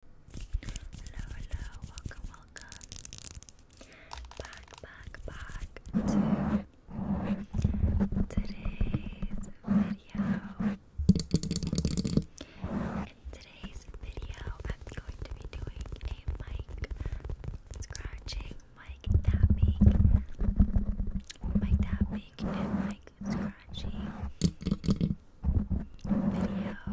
Hello, hello, welcome, welcome. Back, back, back to today's video. In today's video, I'm going to be doing a mic scratching, mic tapping, mic tapping, and mic scratching video you yeah, I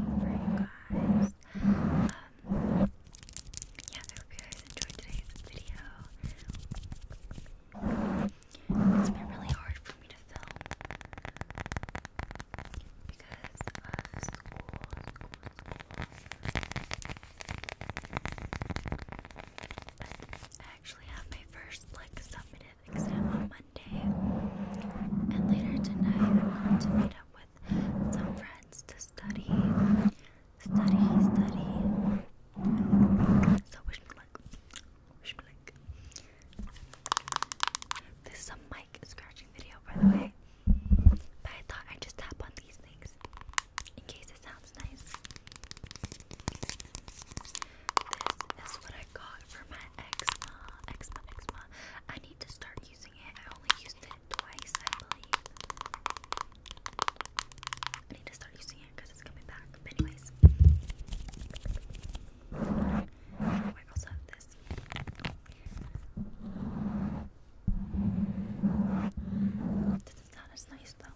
hope you guys enjoyed today's video. It's been really hard for me to film because uh, school, I actually have my first like submitted creative exam on Monday. And later tonight, I'm going to meet up with some friends to study. Study, study. So, wish me luck. Wish me luck. This is a mic scratching video, by the way. But I thought I'd just tap on these things in case it sounds nice. This is what I got for my eczema, eczema, eczema. I need to start using it. I only used it twice, I believe. I need to start using it because it's coming back. But anyways, I also have this. This is not as nice though.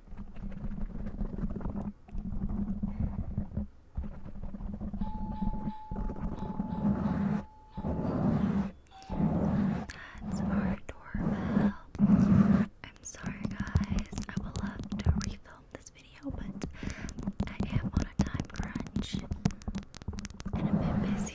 That's our doorbell. I'm sorry, guys. I will love to refilm this video, but I am on a time crunch and a bit busy.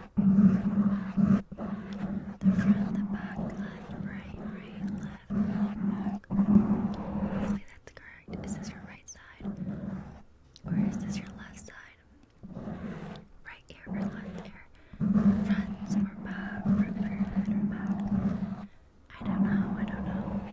The front, the back, left, right, right, left, left, back. correct. Is this your right side? Or is this your left side? Right ear or left ear? Front or back? Front or left I don't know, I don't know.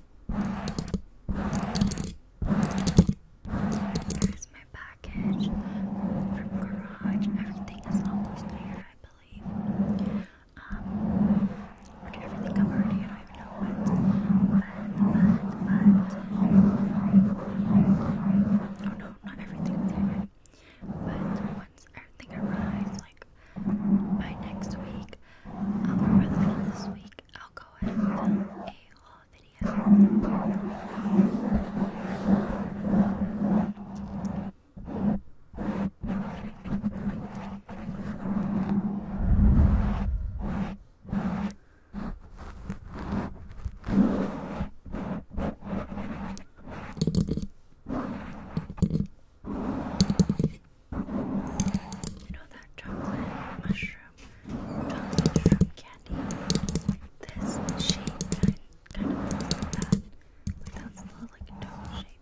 Here's my package from garage. Everything is almost there, I believe. Um, like everything i already, I don't even Oh no, not everything's there. But once everything arrives, like by next week, week. Um, for the middle of this week, I'll go ahead and film a haul video. You know that chocolate mushroom, chocolate mushroom candy? This shape kind, of like that. Like that's a little like dome shape.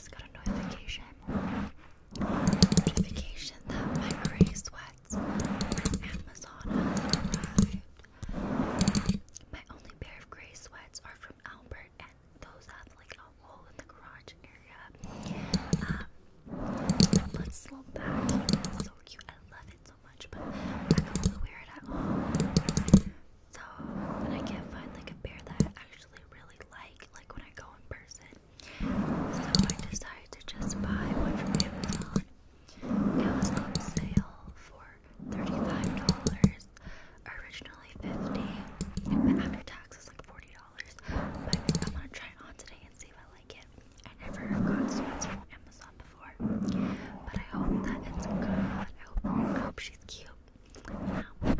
got a notification. Notification that my gray sweats Amazon My only pair of gray sweats are from Albert, and those have like a hole in the garage area. Um, slow back. so cute. I love it so much, but I don't wear it at all. So I can't find like a pair that I actually really like, like when I go in person, so I decided to just buy one from Amazon. It was on sale for thirty-five dollars, originally fifty, but after taxes like forty dollars. But I'm gonna try it on today and see if I like it. I never got sweats from Amazon before, but I hope that it's good. I hope she's cute. Version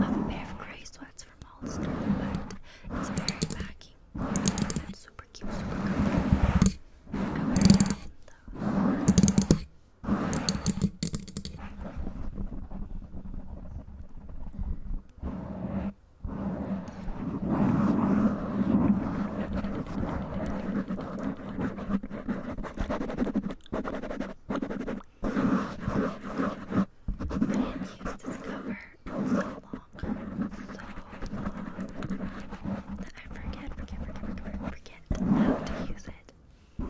of a pair of grey sweats from Hollister, but it's very baggy. It's super cute, super comfy. I wear it around though used this cover so long, so long, that I forget, forget, forget, forget, how to use it.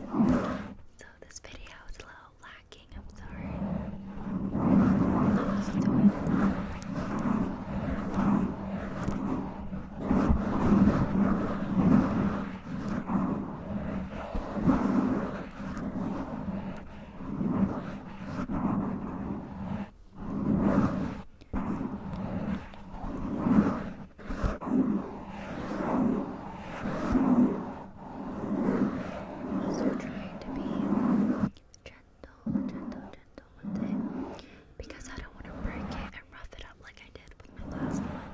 So this video is low lacking. I'm sorry. Also trying to be gentle, gentle, gentle with it because I don't want to break it and rough it up like I did with my last one.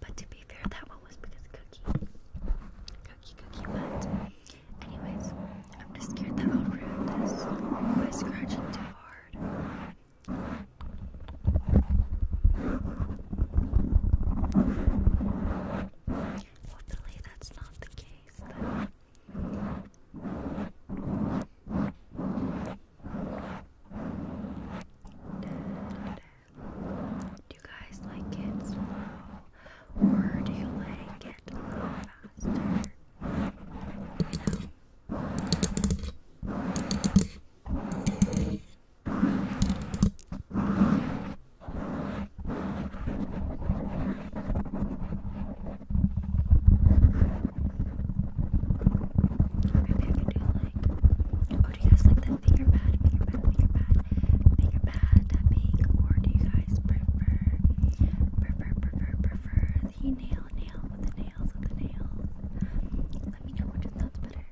But to be fair, that one was because Cookie, Cookie, Cookie went. Anyways, I'm just scared that I'll ruin this by scratching too hard. Hopefully that's not the case Do you guys like it or do you like it Oh, do you guys like that finger pad, finger pad, finger pad, finger pad tapping? Or do you guys prefer, prefer, prefer, prefer the nail, nail with the nails, with the nails? Let me know which is that's better.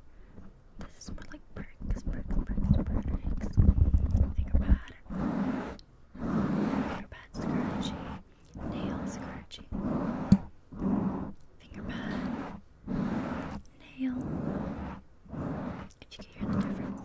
This is more like bricks, bricks, bricks, bricks. Think about it. Finger pad scratching, nail scratching, finger pad, nail. If you can hear the difference.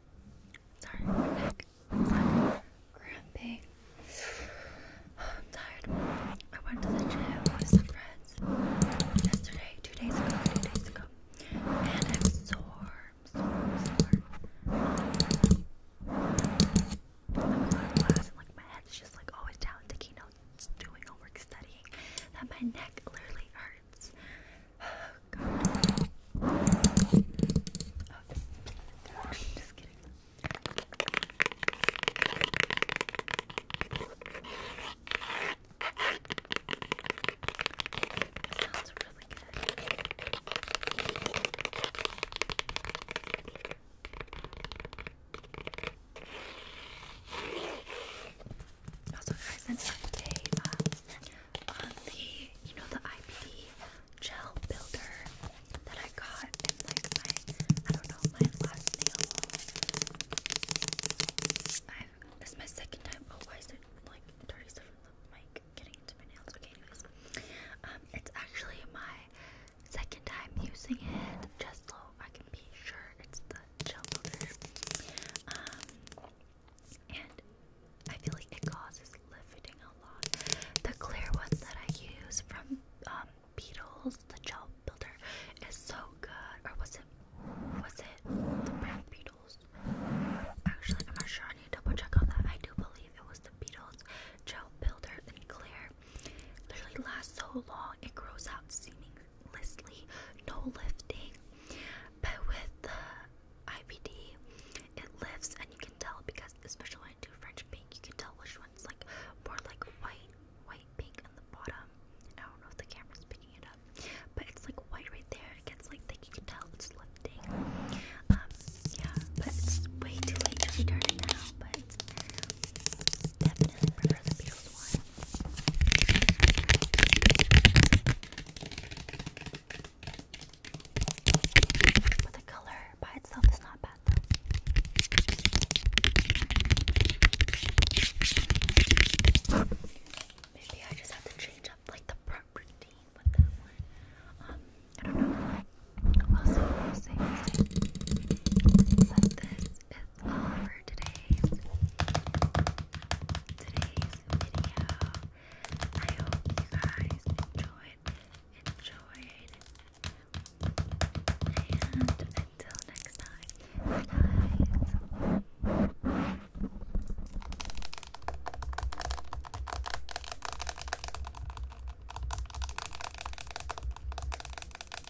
Sorry, neck. I'm cramping. I'm tired. I went to the gym with some friends yesterday, two days ago, two days ago, and I'm sore, sore, sore. I'm in class and like my head's just like always down, taking notes, doing homework, studying, that my neck literally hurts. God. Oh, just kidding. It sounds really good. Also, guys, an update um, on the, you know, the IPD gel builder that I got like, my, I don't know, my last nail. i this is my second time. Oh, why is like, dirty stuff from the getting into my nails? Okay, anyways. Um, it's actually my second time using it, just so I can be sure it's the um, and I feel like it causes lifting a lot. The clear one that I use from um, Beetles, the gel builder, is so good. Or was it? Was it the brand Beatles? Actually, I'm not sure. I need to double check on that. I do believe it was the Beetles gel builder and clear. Literally lasts so long. It grows out seeming effortlessly, no lifting. But with the IPD, it lifts, and you can tell because, especially when I do French pink, you can tell which one's like more like white, white pink on the bottom. I don't know if the camera's picking it up, but it's like white right there. It gets like thick. You can tell it's lifting. Um, yeah, but it's way too late to be dirty now. But definitely prefer the Beatles one. But the color by itself is not bad though. Maybe I just have to change up like the proper theme with that one. Um, I don't know that's for today's today's video. I hope you guys enjoyed enjoyed and until next time guys